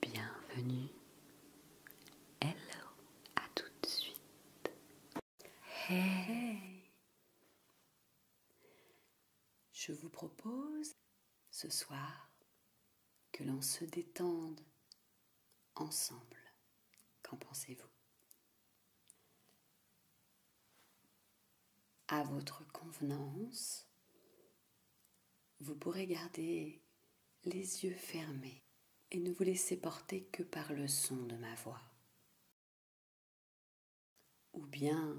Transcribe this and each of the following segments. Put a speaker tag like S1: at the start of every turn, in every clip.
S1: Bienvenue. Hello, à tout de suite. Hey. Je vous propose ce soir que l'on se détende ensemble. Qu'en pensez-vous À votre convenance, vous pourrez garder les yeux fermés et ne vous laisser porter que par le son de ma voix. Ou bien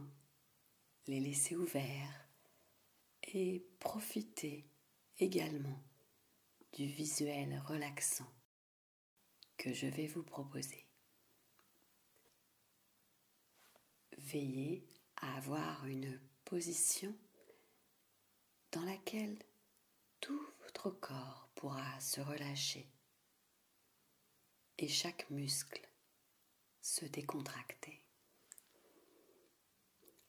S1: les laisser ouverts et profiter également du visuel relaxant que je vais vous proposer. Veillez à avoir une position dans laquelle tout votre corps pourra se relâcher et chaque muscle se décontracter.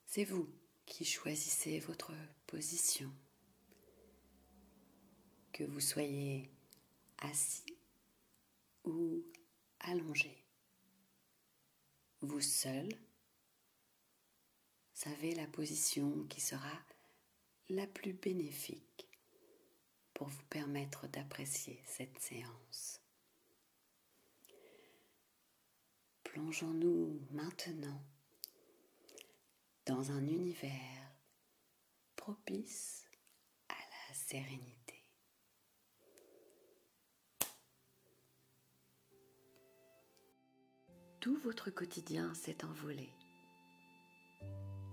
S1: C'est vous qui choisissez votre position, que vous soyez assis ou allongé. Vous seul savez la position qui sera la plus bénéfique pour vous permettre d'apprécier cette séance. Plongeons-nous maintenant dans un univers propice à la sérénité. Tout votre quotidien s'est envolé.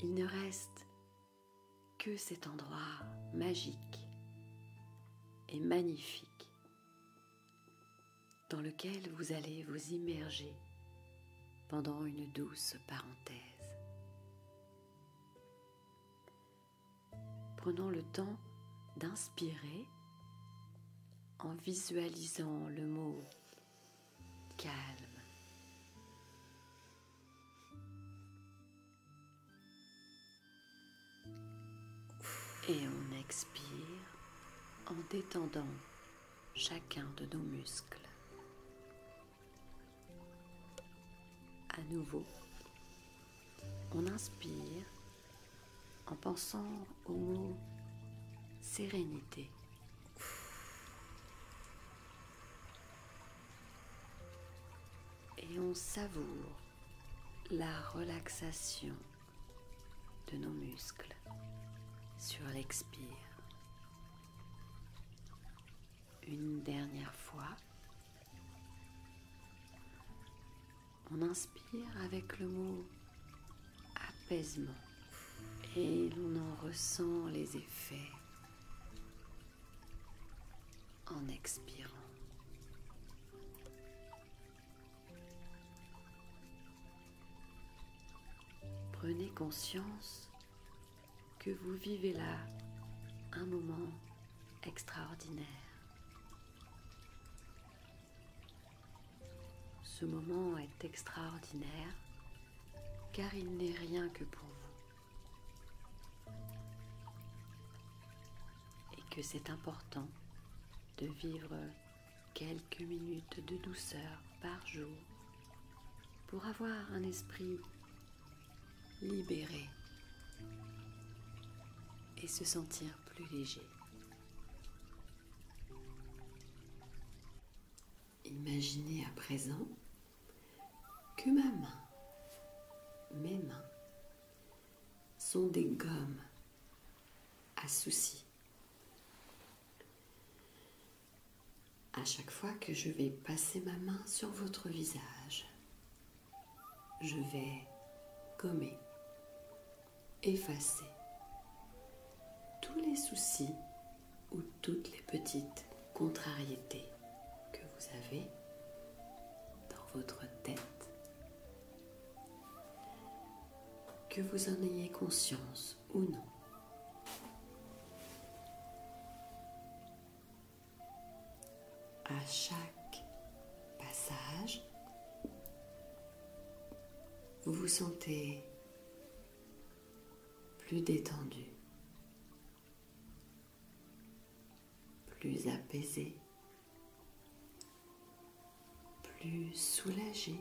S1: Il ne reste que cet endroit magique et magnifique dans lequel vous allez vous immerger pendant une douce parenthèse. Prenons le temps d'inspirer en visualisant le mot calme. Et on expire en détendant chacun de nos muscles. À nouveau, on inspire en pensant au mot sérénité. Et on savoure la relaxation de nos muscles sur l'expire. Une dernière fois. On inspire avec le mot apaisement et on en ressent les effets en expirant. Prenez conscience que vous vivez là un moment extraordinaire. Ce moment est extraordinaire car il n'est rien que pour vous et que c'est important de vivre quelques minutes de douceur par jour pour avoir un esprit libéré et se sentir plus léger. Imaginez à présent que ma main, mes mains, sont des gommes à souci. À chaque fois que je vais passer ma main sur votre visage, je vais gommer, effacer tous les soucis ou toutes les petites contrariétés que vous avez dans votre tête, que vous en ayez conscience ou non à chaque passage, vous vous sentez plus détendu, plus apaisé, plus soulagé,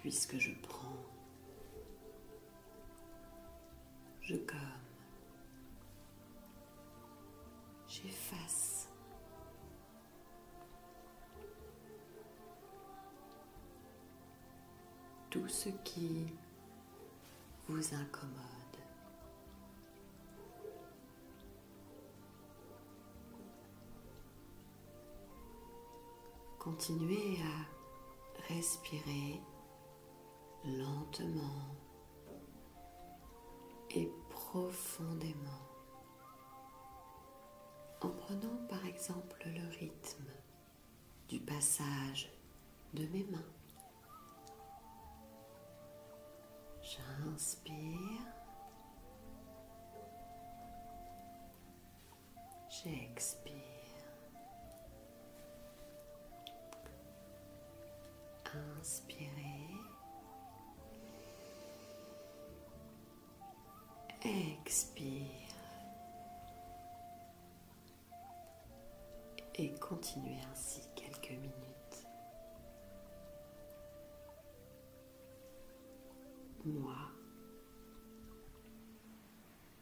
S1: puisque je prends, je comme J'efface. Tout ce qui vous incommode. Continuez à respirer lentement et profondément en prenant par exemple le rythme du passage de mes mains. J'inspire. J'expire. Inspirez. Expire. Et continuez ainsi quelques minutes. Moi,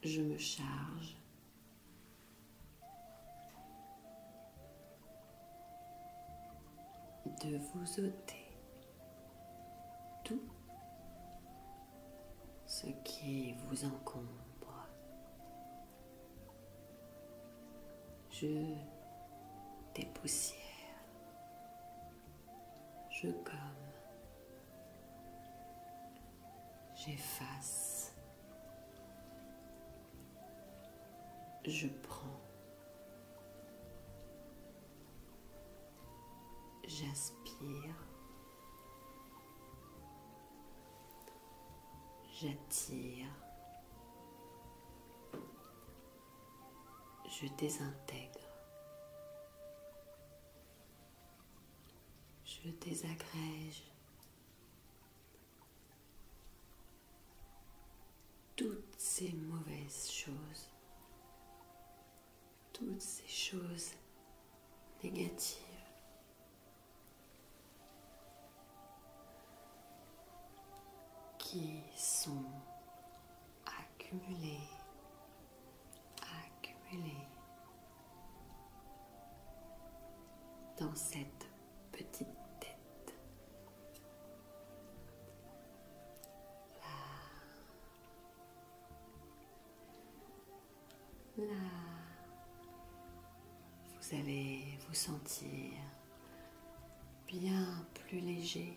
S1: je me charge de vous ôter tout ce qui vous encombre. Je dépoussière. Je comme. J'efface je prends. j'aspire J'attire. Je désintègre. Je désagrège. Toutes ces mauvaises choses, toutes ces choses négatives. qui sont accumulées, accumulées dans cette petite tête. Là. Vous allez vous sentir bien plus léger,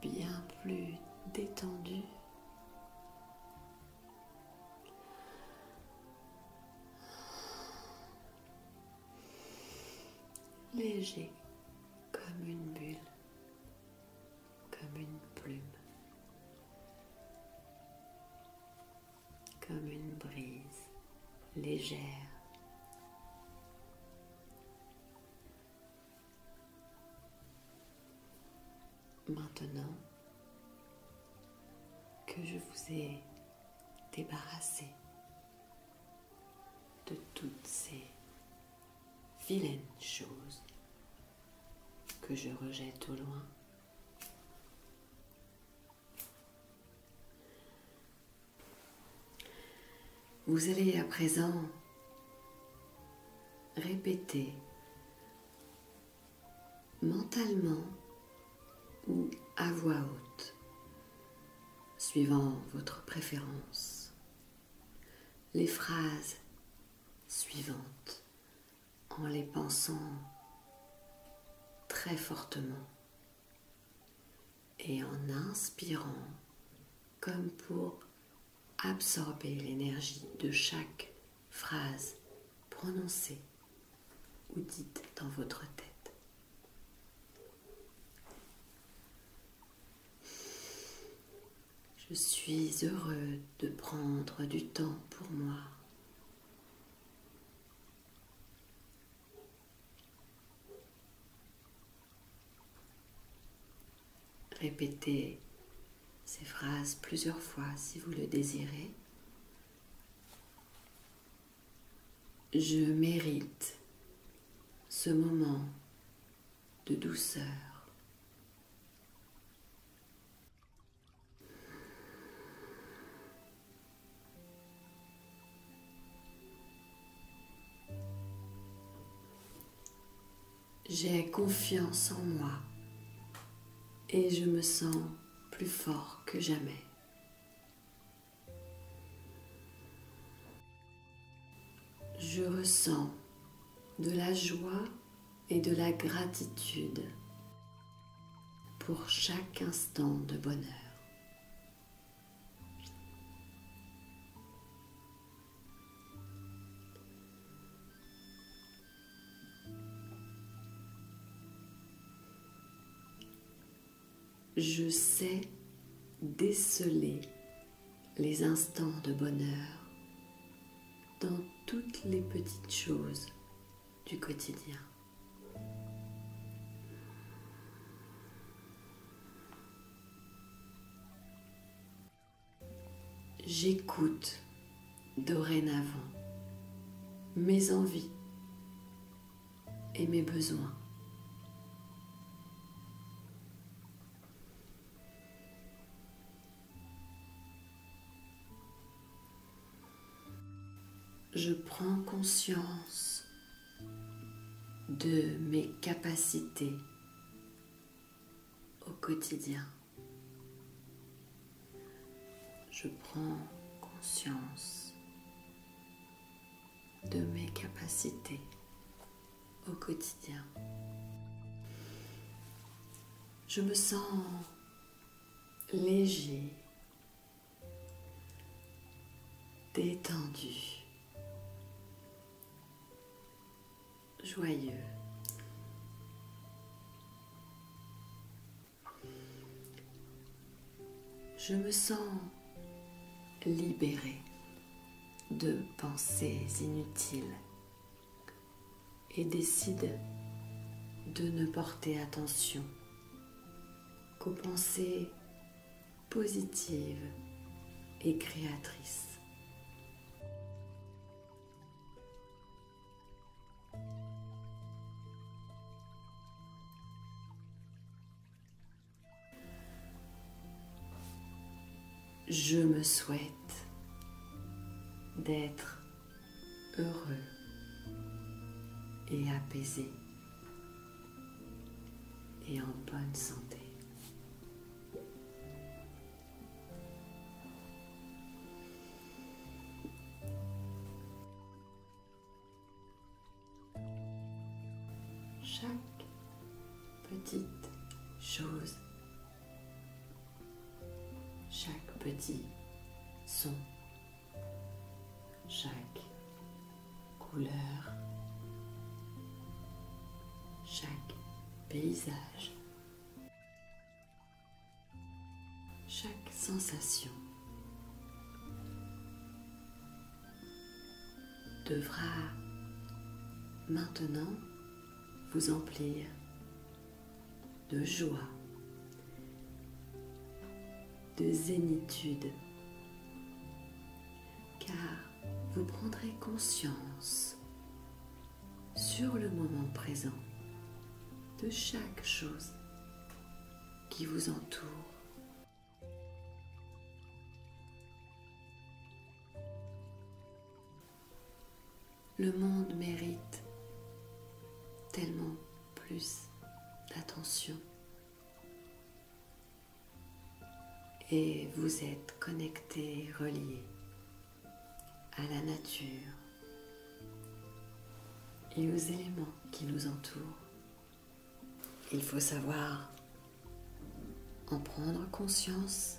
S1: bien plus détendu léger comme une bulle, comme une plume, comme une brise légère. Maintenant que je vous ai débarrassé de toutes ces vilaines choses que je rejette au loin. Vous allez à présent répéter mentalement ou à voix haute, suivant votre préférence, les phrases suivantes en les pensant très fortement et en inspirant comme pour absorber l'énergie de chaque phrase prononcée ou dites dans votre tête. Je suis heureux de prendre du temps pour moi. Répétez ces phrases plusieurs fois si vous le désirez je mérite ce moment de douceur. J'ai confiance en moi et je me sens plus fort que jamais. Je ressens de la joie et de la gratitude pour chaque instant de bonheur. Je sais déceler les instants de bonheur dans toutes les petites choses du quotidien. J'écoute dorénavant mes envies et mes besoins. Je prends conscience de mes capacités au quotidien. Je prends conscience de mes capacités au quotidien. Je me sens léger, détendu, joyeux. Je me sens libérée de pensées inutiles et décide de ne porter attention qu'aux pensées positives et créatrices. Je me souhaite d'être heureux et apaisé et en bonne santé. Chaque petite chose, chaque petit son, chaque couleur, chaque paysage, chaque sensation devra maintenant vous emplir de joie, de zénitude, car vous prendrez conscience sur le moment présent de chaque chose qui vous entoure. Le monde mérite tellement plus d'attention. Et vous êtes connecté, relié à la nature et aux éléments qui nous entourent. Il faut savoir en prendre conscience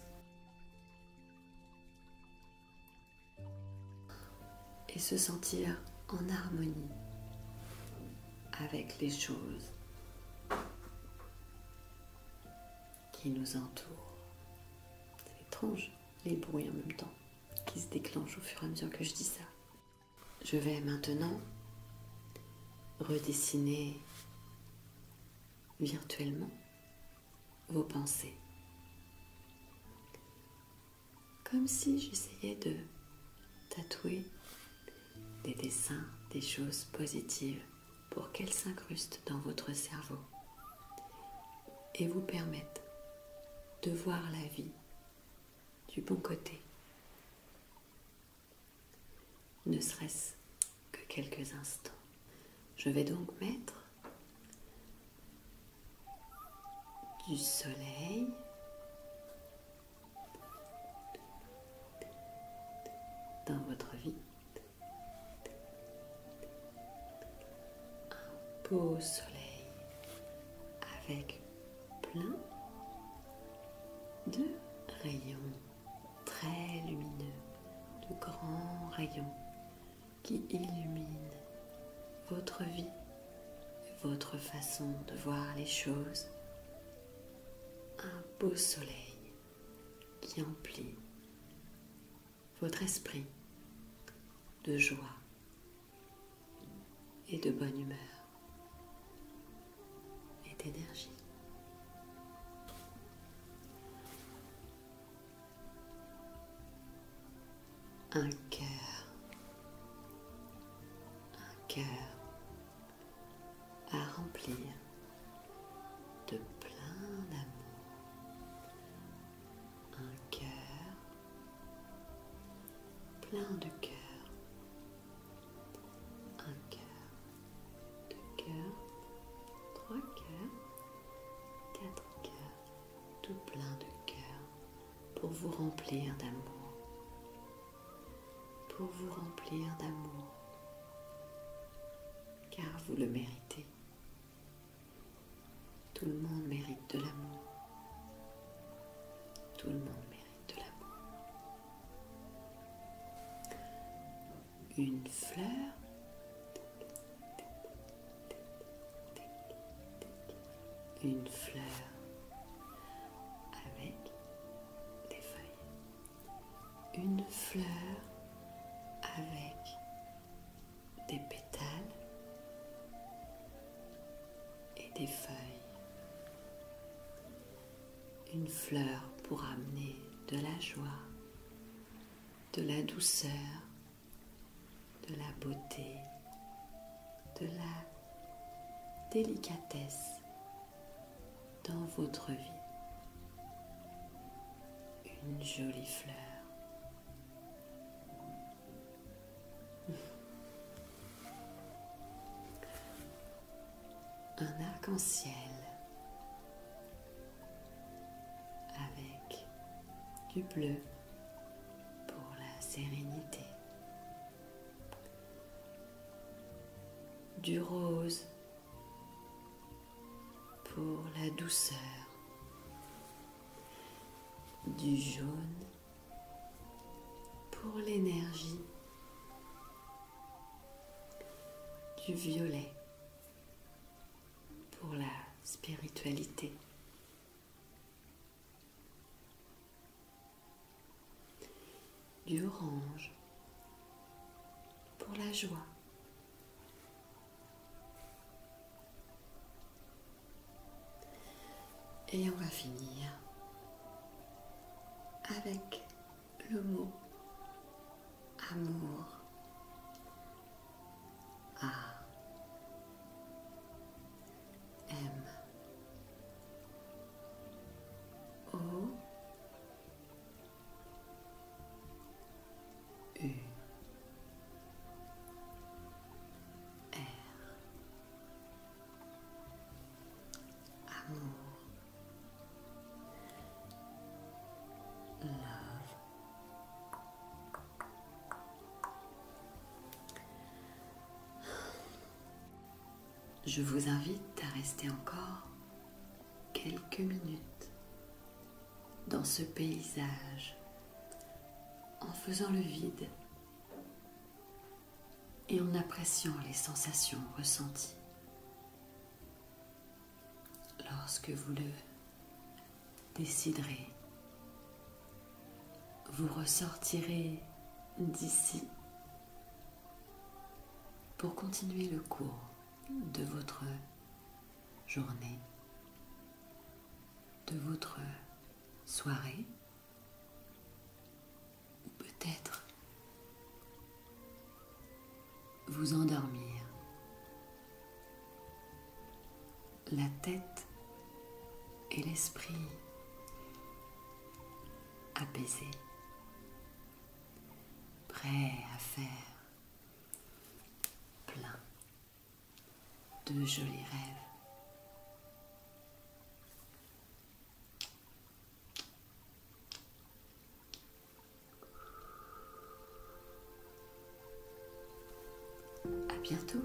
S1: et se sentir en harmonie avec les choses qui nous entourent. C'est étrange, les bruits en même temps qui se déclenche au fur et à mesure que je dis ça. Je vais maintenant redessiner virtuellement vos pensées. Comme si j'essayais de tatouer des dessins, des choses positives pour qu'elles s'incrustent dans votre cerveau et vous permettre de voir la vie du bon côté, ne serait-ce que quelques instants. Je vais donc mettre du soleil dans votre vie un beau soleil avec plein de rayons très lumineux, de grands rayons qui illuminent votre vie, votre façon de voir les choses. Un beau soleil qui emplit votre esprit de joie et de bonne humeur et d'énergie. Un cœur, un cœur à remplir de plein d'amour, un cœur plein de cœur, un cœur, deux cœurs, trois cœurs, quatre cœurs, tout plein de cœur pour vous remplir d'amour, pour vous remplir d'amour, car vous le méritez. Tout le monde mérite de l'amour. Tout le monde mérite de l'amour. Une fleur une fleur avec des feuilles. Une fleur avec des pétales et des feuilles. Une fleur pour amener de la joie, de la douceur, de la beauté, de la délicatesse dans votre vie. Une jolie fleur un arc-en-ciel avec du bleu pour la sérénité, du rose pour la douceur, du jaune pour l'énergie, du violet pour la spiritualité. du orange pour la joie, et on va finir avec le mot amour. A. M. O. Amour Je vous invite à rester encore quelques minutes dans ce paysage en faisant le vide et en appréciant les sensations ressenties lorsque vous le déciderez vous ressortirez d'ici pour continuer le cours de votre journée, de votre soirée, ou peut-être vous endormir, la tête et l'esprit apaisés, prêts à faire plein de jolis rêves. À bientôt.